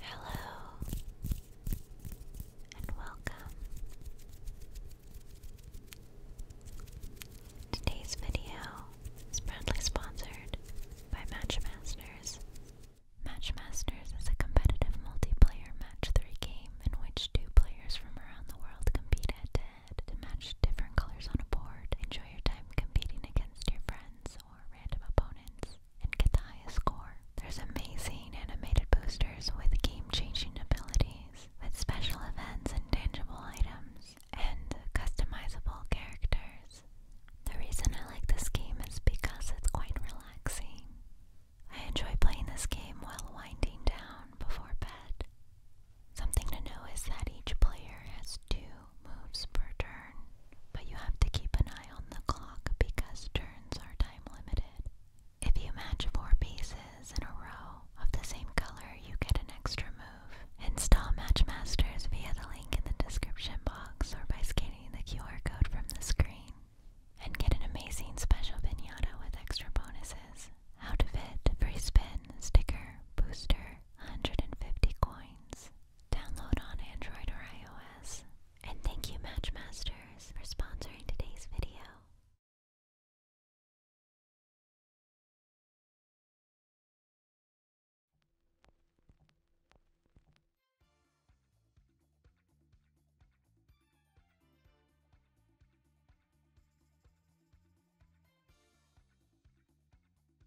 Hello and welcome. Today's video is proudly sponsored by Matchmasters. Matchmasters is a competitive multiplayer match 3 game in which two players from around the world compete head to head to match different colors on a board. Enjoy your time competing against your friends or random opponents and get score. There's amazing animated boosters with game-changing abilities, with special events and tangible items, and customizable characters. The reason I like this game is because it's quite relaxing. I enjoy playing this game while winding down before bed. Something to know is that each player has two moves per turn, but you have to keep an eye on the clock because turns are time limited. If you match four pieces in a row of the same color, you get an extra move. Install Matchmasters via the link in the description box or by scanning the QR code from the screen. And get an amazing special vignetta with extra bonuses. out of it, free spin, sticker, booster, 150 coins. Download on Android or iOS. And thank you Matchmasters for sponsoring today's video.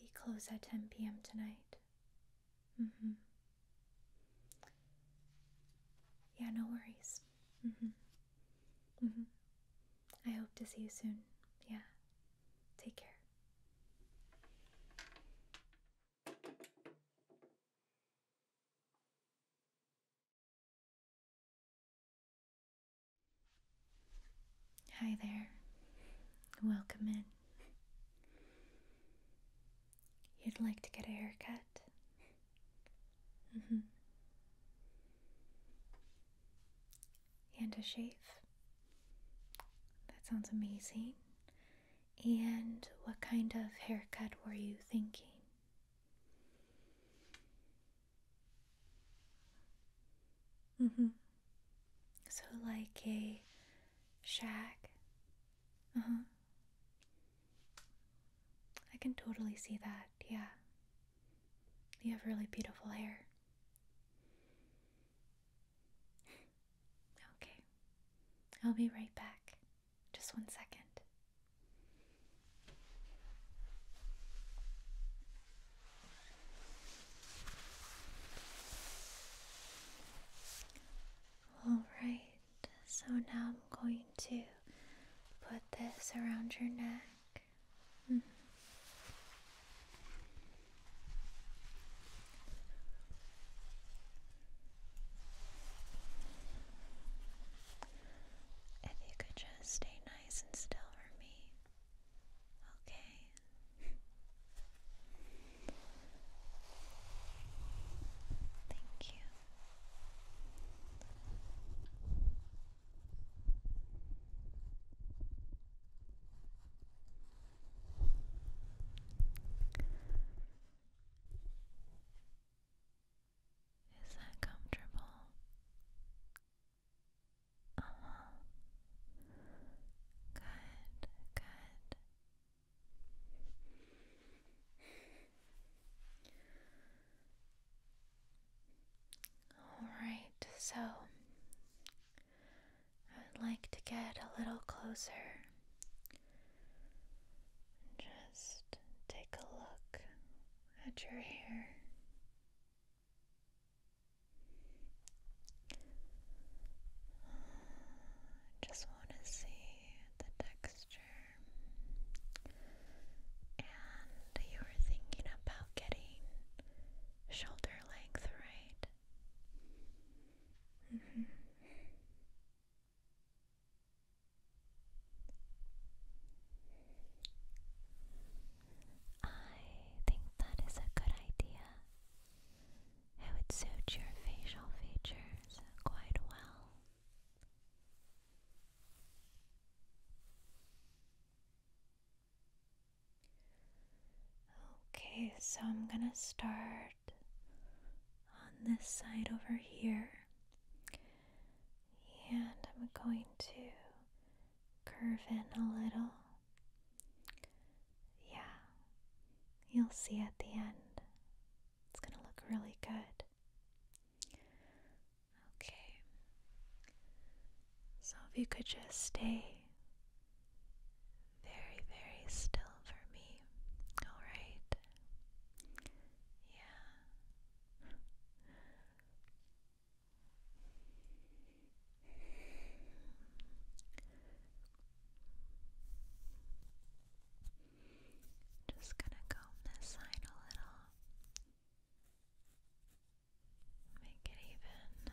We close at 10 p.m. tonight. Mm-hmm. Yeah, no worries. Mm-hmm. Mm-hmm. I hope to see you soon. Yeah. Take care. Hi there. Welcome in. You'd like to get a haircut? Mm-hmm. And a shave? That sounds amazing. And what kind of haircut were you thinking? Mm-hmm. So, like a shack. Uh huh. I can totally see that, yeah. You have really beautiful hair. okay. I'll be right back. Just one second. Alright, so now I'm going to put this around your neck. If mm-hmm. you could just stay nice and still for me. Okay. Thank you. Is that comfortable? Uh huh. Good, good. All right, so I would like to get a little closer. Just take a look at your hair. I just want to see the texture. And you were thinking about getting shoulder length, right? Mm-hmm. I think that is a good idea. It would suit your facial features quite well. Okay, so I'm gonna start on this side over here, and I'm going to curve in a little. Yeah, you'll see at the end. It's going to look really good. Okay. So if you could just stay very, very still for me, alright? Yeah. Just gonna comb this side a little. Make it even.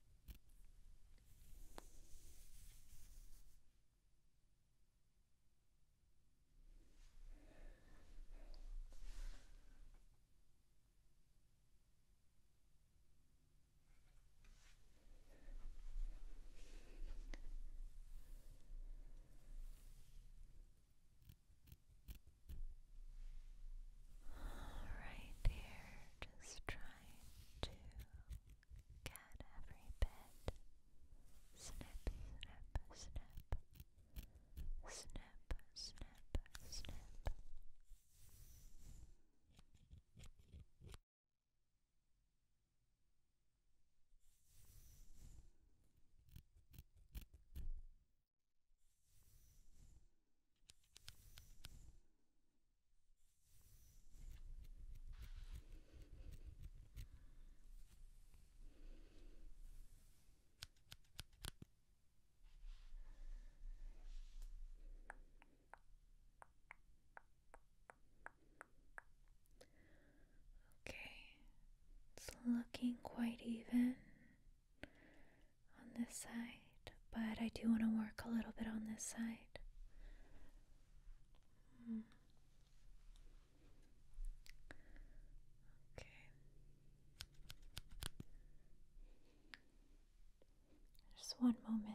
All right, dear, just trying to Cat every bit. Snip, snip, snip. Snip, snip, snip. Okay, it's looking quite even on this side, but I do want to work a little bit on this side. Okay. Just one moment.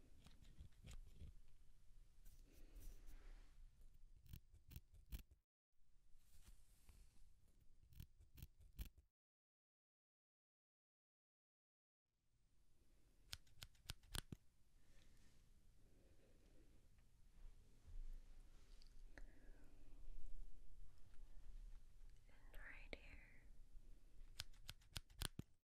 And right here.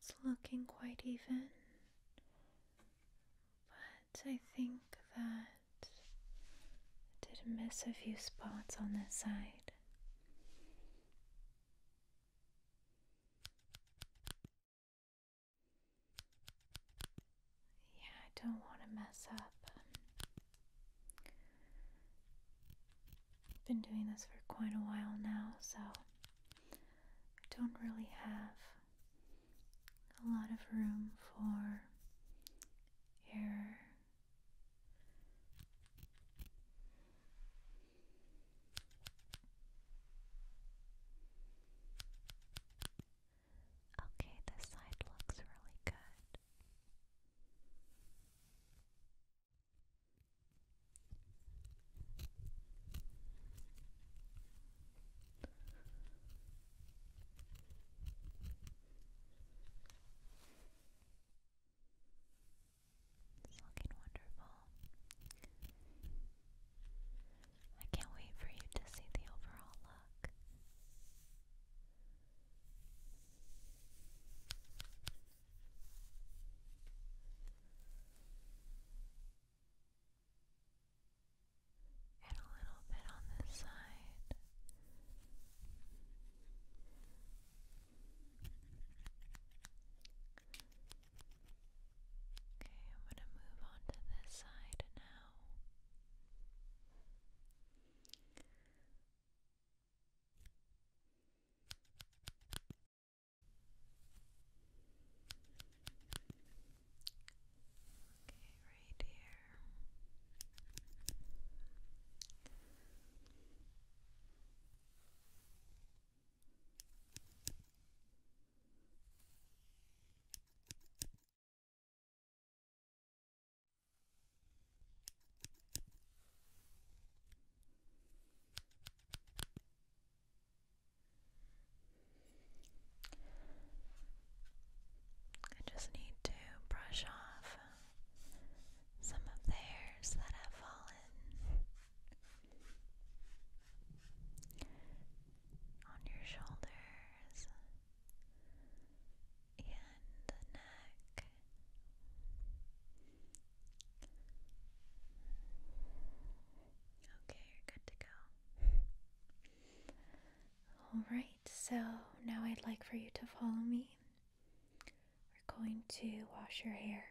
It's looking quite even, but I think that I did miss a few spots on this side. Yeah, I don't want to mess up. I've been doing this for quite a while now, so I don't really have a lot of room for error. Okay, this side looks really good. It's looking wonderful. I can't wait for you to see the overall look and a little bit on this side. Okay, I'm going to move on to this side now. Okay, right here. I just need to brush off some of the hairs that have fallen on your shoulders and the neck. Okay, you're good to go. Alright, so now I'd like for you to follow me. We're going to wash your hair.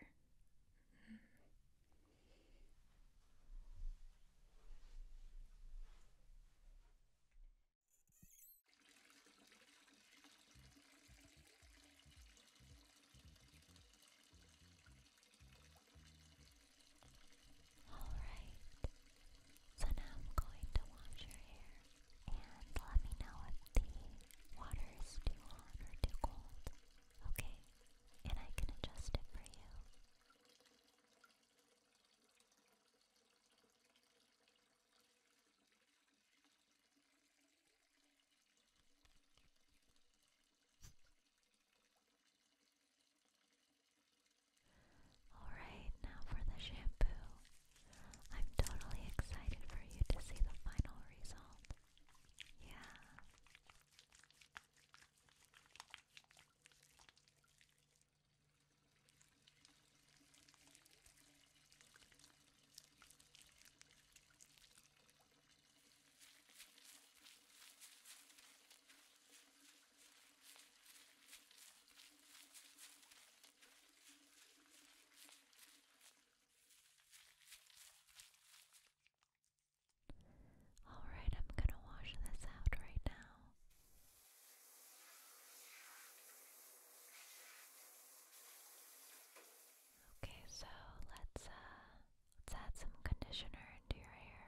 Alright, so now I'm going to wash your hair and let me know if the water is too hot or too cold, okay? And I can adjust it for you. Alright, now for the shampoo. I'm totally excited for you to see the final result. Yeah. All right, I'm going to wash this out right now. Okay, so let's uh let's add some conditioner into your hair.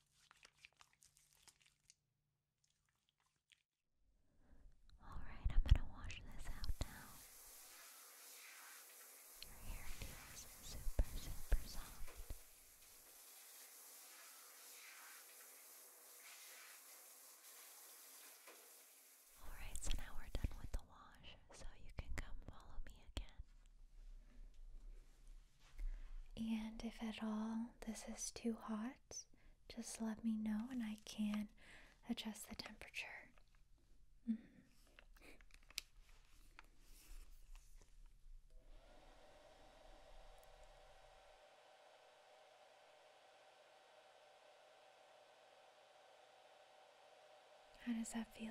Alright, I'm going to wash this out now. Your hair feels super, super soft. Alright, so now we're done with the wash, so you can come follow me again. And if at all this is too hot, just let me know and I can adjust the temperature. Mm-hmm. How does that feel?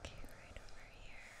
Okay, right over here. Okay,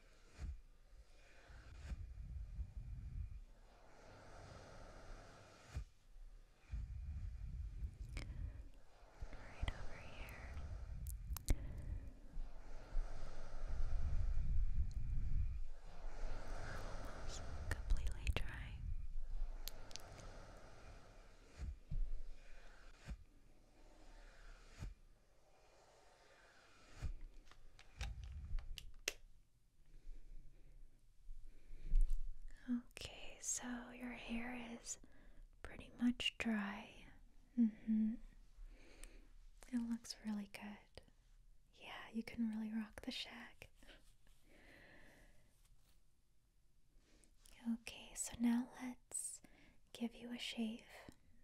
Right over here. Almost completely dry. Right Okay, so your hair is pretty much dry. Mm-hmm. It looks really good. Yeah, you can really rock the shack. okay, so now let's give you a shave.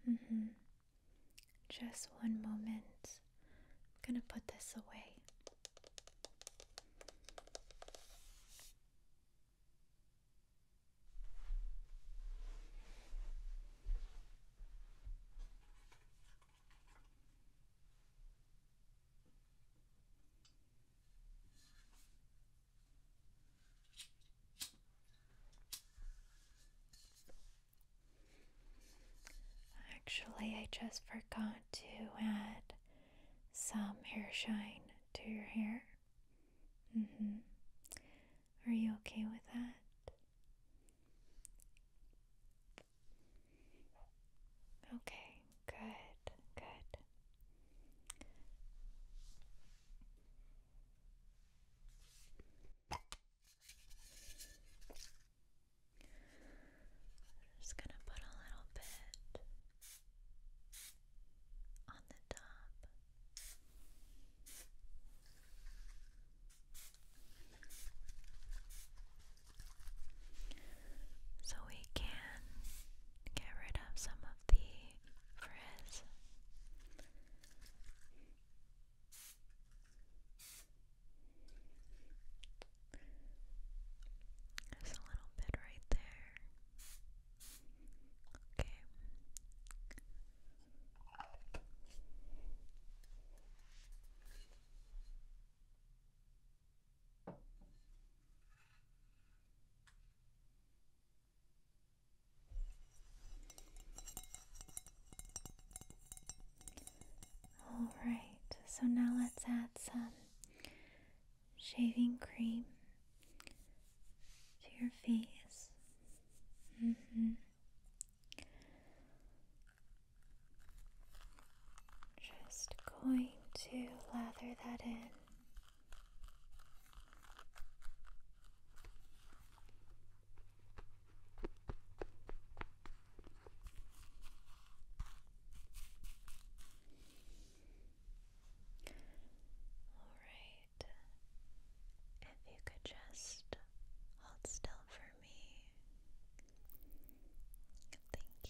Mm-hmm. Just one moment. I'm gonna put this away. Actually, I just forgot to add some hair shine to your hair. Mm-hmm. Are you okay with that? Okay, good. Good. I'm just going to put a little bit on the top. So we can get rid of some of the frizz. There's a little bit right there. Okay. Alright, so now let's add some shaving cream to your face. Mm-hmm. Just going to lather that in. All right. If you could just hold still for me. Thank you.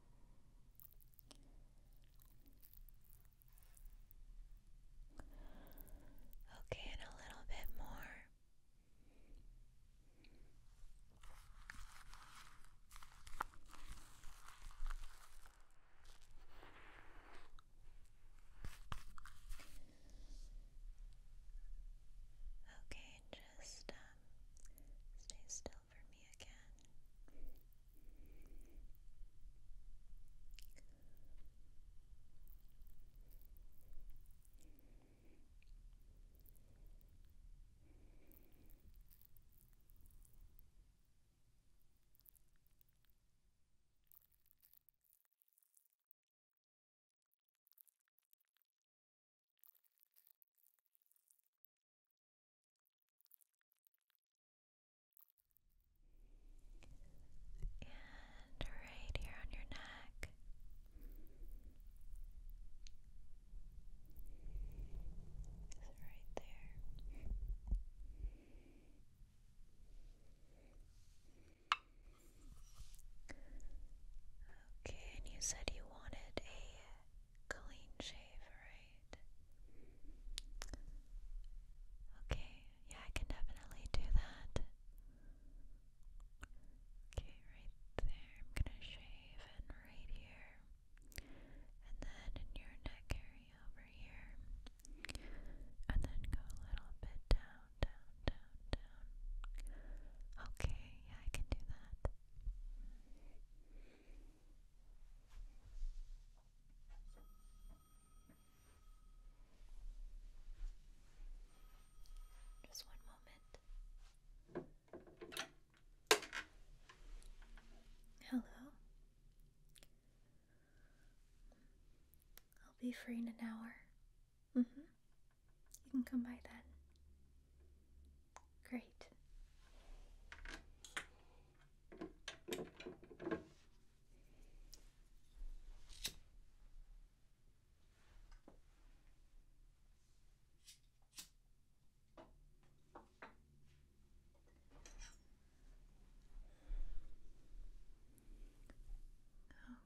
Okay, and a little bit more. Okay, just um, stay still over me again. And right here on your neck. Is right there? Okay, and you said you wanted a clean shave, right? Okay, yeah, I can definitely do that. Okay, right there. I'm gonna shave and right here. And then in your neck area over here. And then go a little bit down, down, down, down. Okay, yeah, I can do that. Just one moment. Hello. I'll be free in an hour. hmm You can come by then. Great.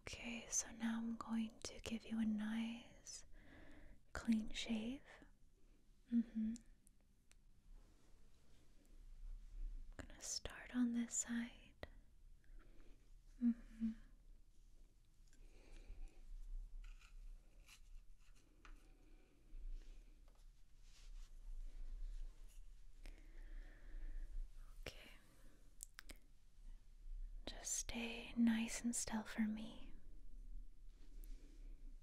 Okay, so now I'm going to give you a nice clean shave. Mm-hmm. I'm going to start on this side. Mm-hmm. Okay. Just stay nice and still for me.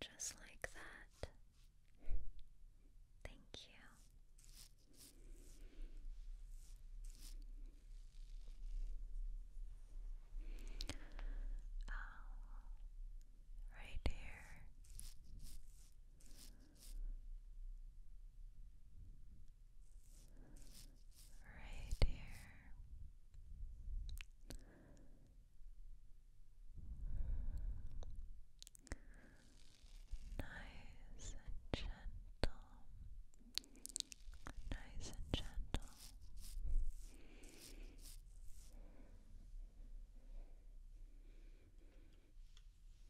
Just like that. Thank you. Oh, right here right here. Nice and gentle, nice and gentle.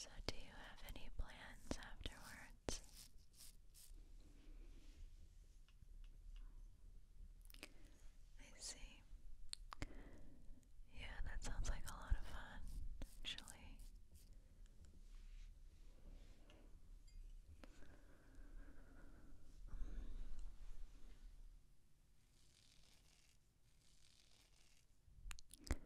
So, do you have any plans afterwards? cards. I see. Yeah, that sounds like a lot of fun, actually. Okay, right here.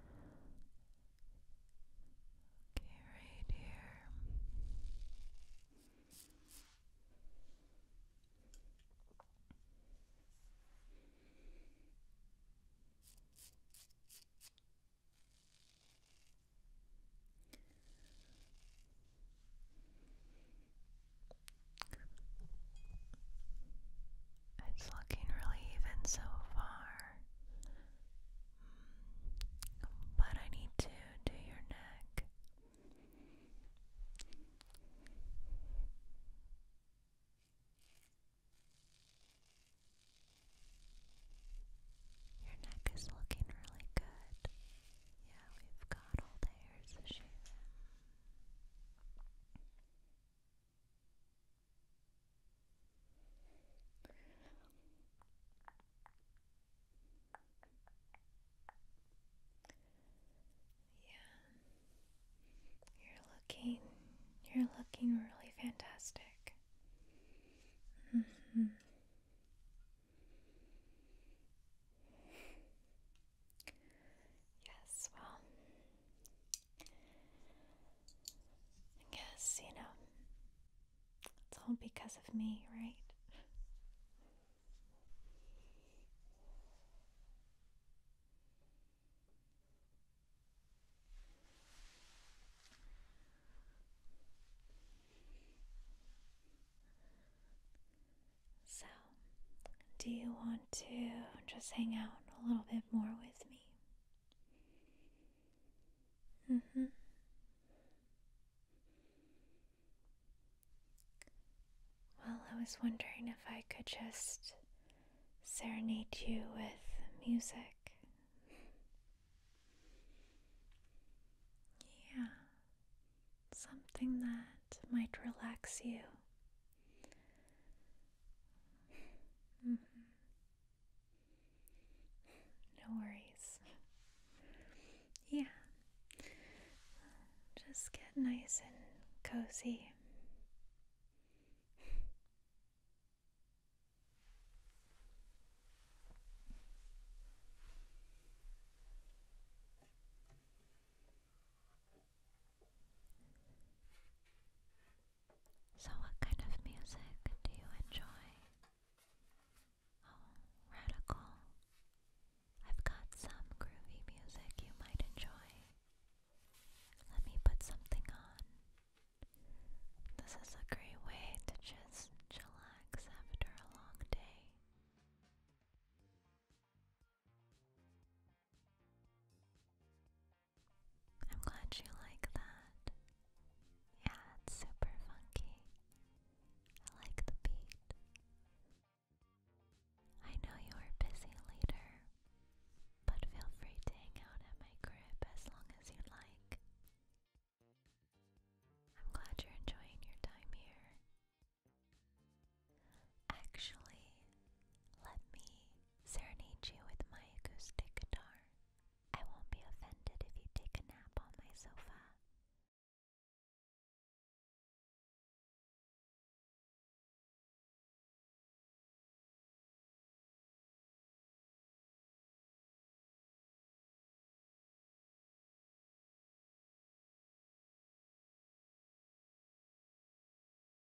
It's looking really even so far. But I need to do your neck. Your neck is looking really good. Yeah, we've got all the hairs shaven. Yeah. You're looking you're looking really fantastic. Mm-hmm. Yes, well, I guess, you know, it's all because of me, right? So, do you want to just hang out a little bit more with me? Mm hmm. Well, I was wondering if I could just serenade you with music. Yeah, something that might relax you. Mm-hmm. No worries. Yeah. Just get nice and cozy. So, what kind of music do you enjoy? Oh, radical. I've got some groovy music you might enjoy. Let me put something on. This is a great way to just chillax after a long day. I'm glad you like that. Yeah, it's super funky. I like the beat. I know you are busy later, but feel free to hang out at my crib as long as you like. I'm glad you're enjoying your time here. Actually, let me serenade you with my acoustic guitar. I won't be offended if you take a nap on my sofa.